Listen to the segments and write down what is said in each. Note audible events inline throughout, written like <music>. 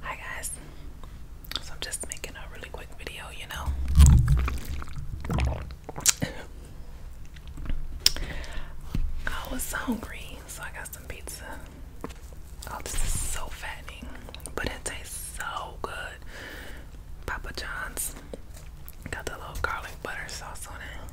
Hi guys. So I'm just making a really quick video, you know. I was hungry, so I got some pizza. Oh, this is so fattening, but it tastes so good. Papa John's got the little garlic butter sauce on it.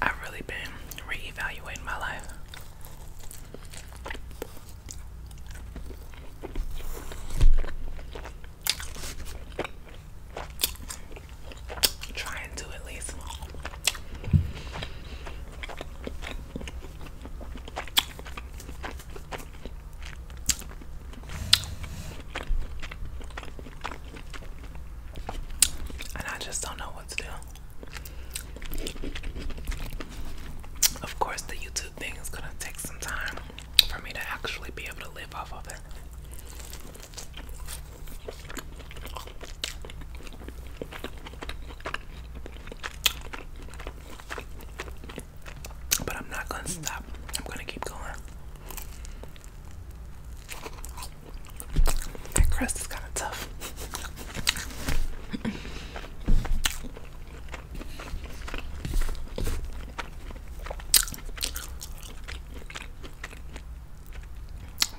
I've really been reevaluating my life. trying to at least and I just don't know what to do. Of course, the YouTube thing is gonna take some time for me to actually be able to live off of it. But I'm not gonna stop, I'm gonna keep going. That crust is kind of tough.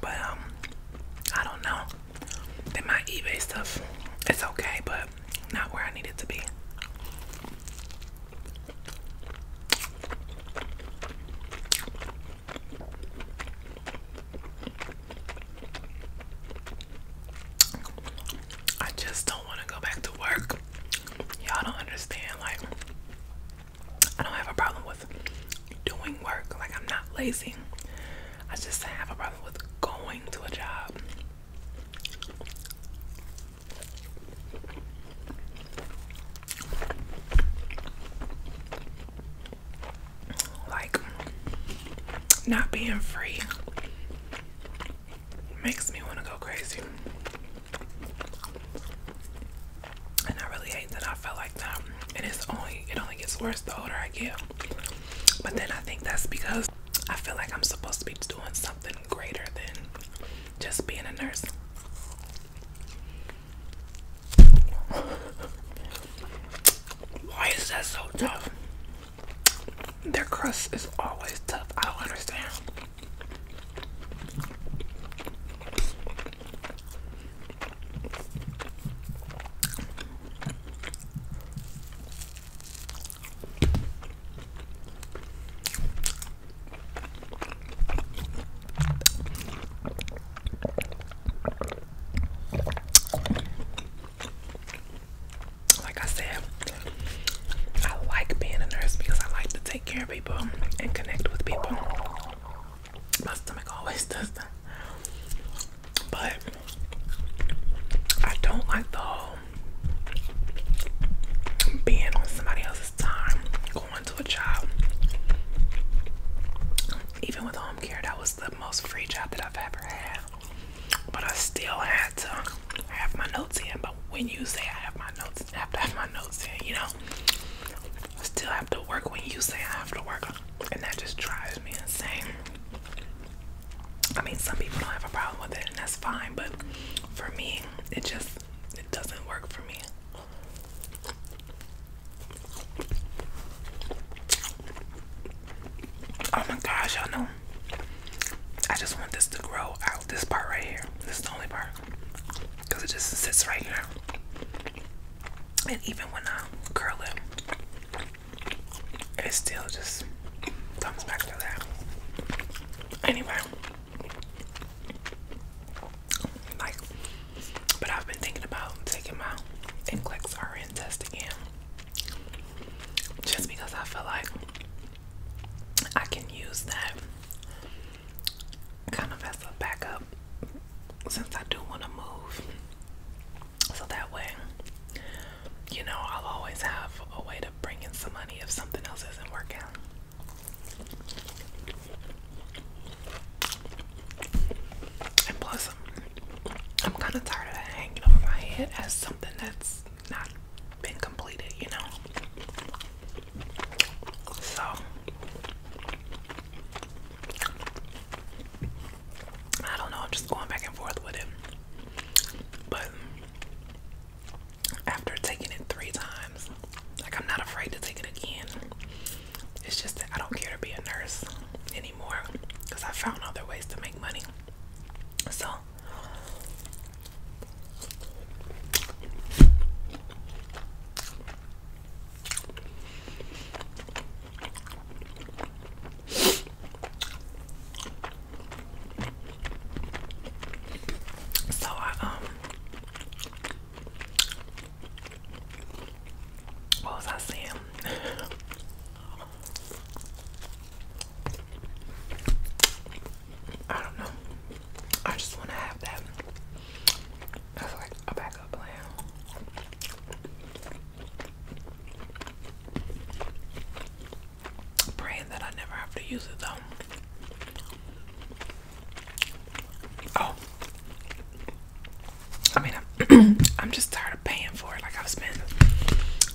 But um, I don't know. Then my eBay stuff, it's okay, but not where I need it to be. I just don't want to go back to work. Y'all don't understand. Like, I don't have a problem with doing work. Like, I'm not lazy. I just have a problem with going to a job. Like, not being free makes me want to go crazy. And I really hate that I felt like that. And it's only, it only gets worse the older I get. But then I think that's because I feel like I'm supposed to be doing something greater than just being a nurse. <laughs> Why is that so tough? Their crust is always tough. I don't understand. Like I said, I like being a nurse because I like to take care of people and connect with people. My stomach always <laughs> does that. But I don't like the whole being on somebody else's time, going to a job. Even with home care, that was the most free job that I've ever had. But I still had to have my notes in. But when you say I have my notes, I have to have my notes in, you know? I still have to work when you say I have to work. And that just drives me insane. I mean, some people don't have a problem with it, and that's fine. But for me, it just it doesn't work for me. Oh my gosh, y'all know. I just want this to grow out. This part right here. This is the only part. Cause it just sits right here. And even when I curl it, it still just comes back to that. Anyway, like, but I've been thinking about taking my NCLEX RN test again just because I feel like I can use that kind of as a backup since I do want to move. So that way, you know, I'll always have a way to bring in some money if something else isn't working. And plus, I'm kind of tired of hanging over my head as something that's not been completed, you know? So. I don't know, I'm just going back and forth with it. But after taking it three times, like I'm not afraid to take it again. It's just that I don't care to be a nurse anymore because I found other ways to make money. So so I um what was I saying? I don't know. I just want to have that. That's like a backup plan i praying that I never have to use it though. Oh. I mean, I'm, <clears throat> I'm just tired of paying for it. Like, I've spent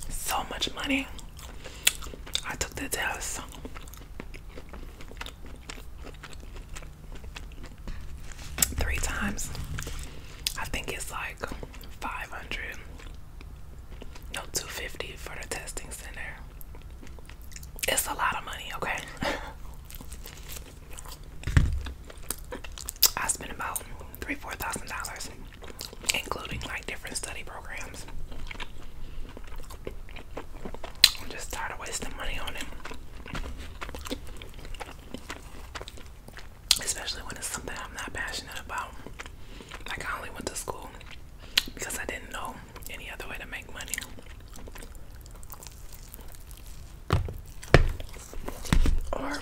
so much money. I took the test three times. I think it's like 500, no, 250 for the testing center. It's a lot of money, okay? <laughs> I spent about three, four thousand dollars, including like different study programs. I'm just tired of wasting money on it especially when it's something I'm not passionate about. Like, I only went to school because I didn't know any other way to make money. Or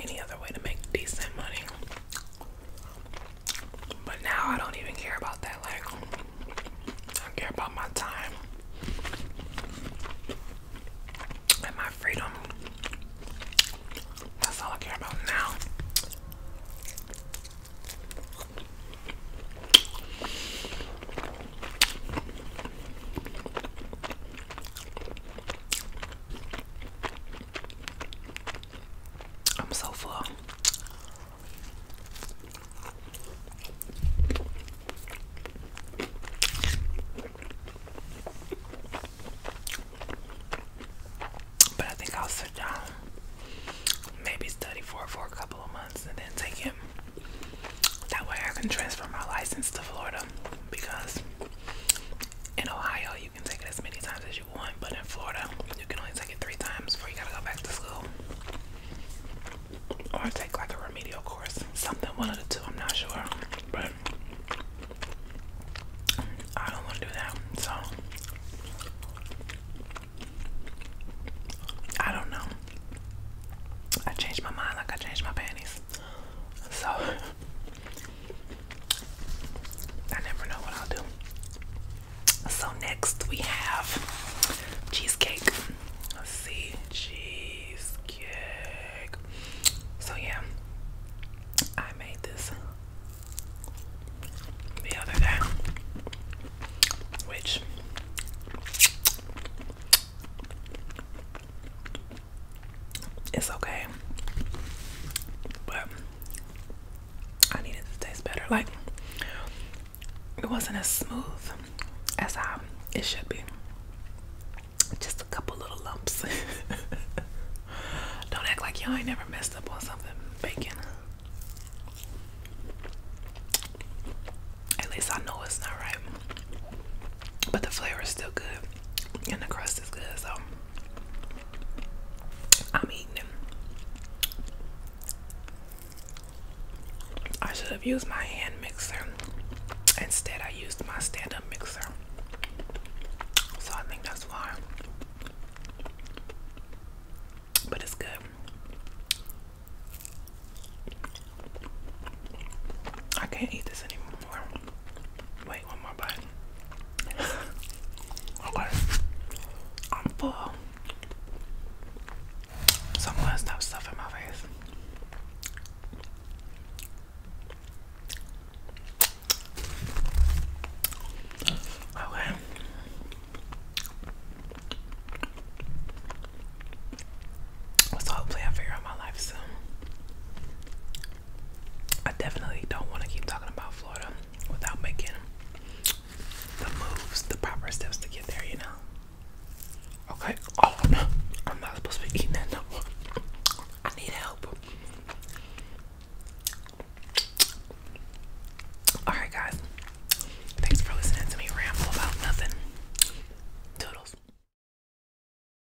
any other way to make decent money. But now I don't even care about that. Like, I care about my time and my freedom. That's all I care about now. I'm so full. But I think I'll sit down, maybe study for it for a couple of months, and then take it. That way, I can transfer my license to Florida because in Ohio, you can take it as many times as you you but in Florida, you can only take it three times before you gotta go back to school. Or take like a remedial course, something one of the two, I'm not sure. But I don't want to do that, so I don't know. I changed my mind like I changed my panties. So <laughs> I never know what I'll do. So next we have cheesecake. Let's see, cheesecake. So yeah, I made this the other day, which it's okay, but I needed to taste better. Like it wasn't as smooth as how it should be. Just a couple little lumps. <laughs> Don't act like y'all ain't never messed up on something baking. At least I know it's not right. But the flavor is still good and the crust is good, so I'm eating them. I should have used my hand mixer. Instead, I used my stand up mixer. So I think that's why. But it's good. I can't eat this anymore. Wait one more bite. okay. I'm full. So I'm gonna my face. Okay. So hopefully I figure out my life soon. I definitely don't want to keep talking about Florida without making the moves, the proper steps to get there, you know. Okay. Oh no, I'm not supposed to be eating that no I need help. Alright guys. Thanks for listening to me ramble about nothing. Toodles.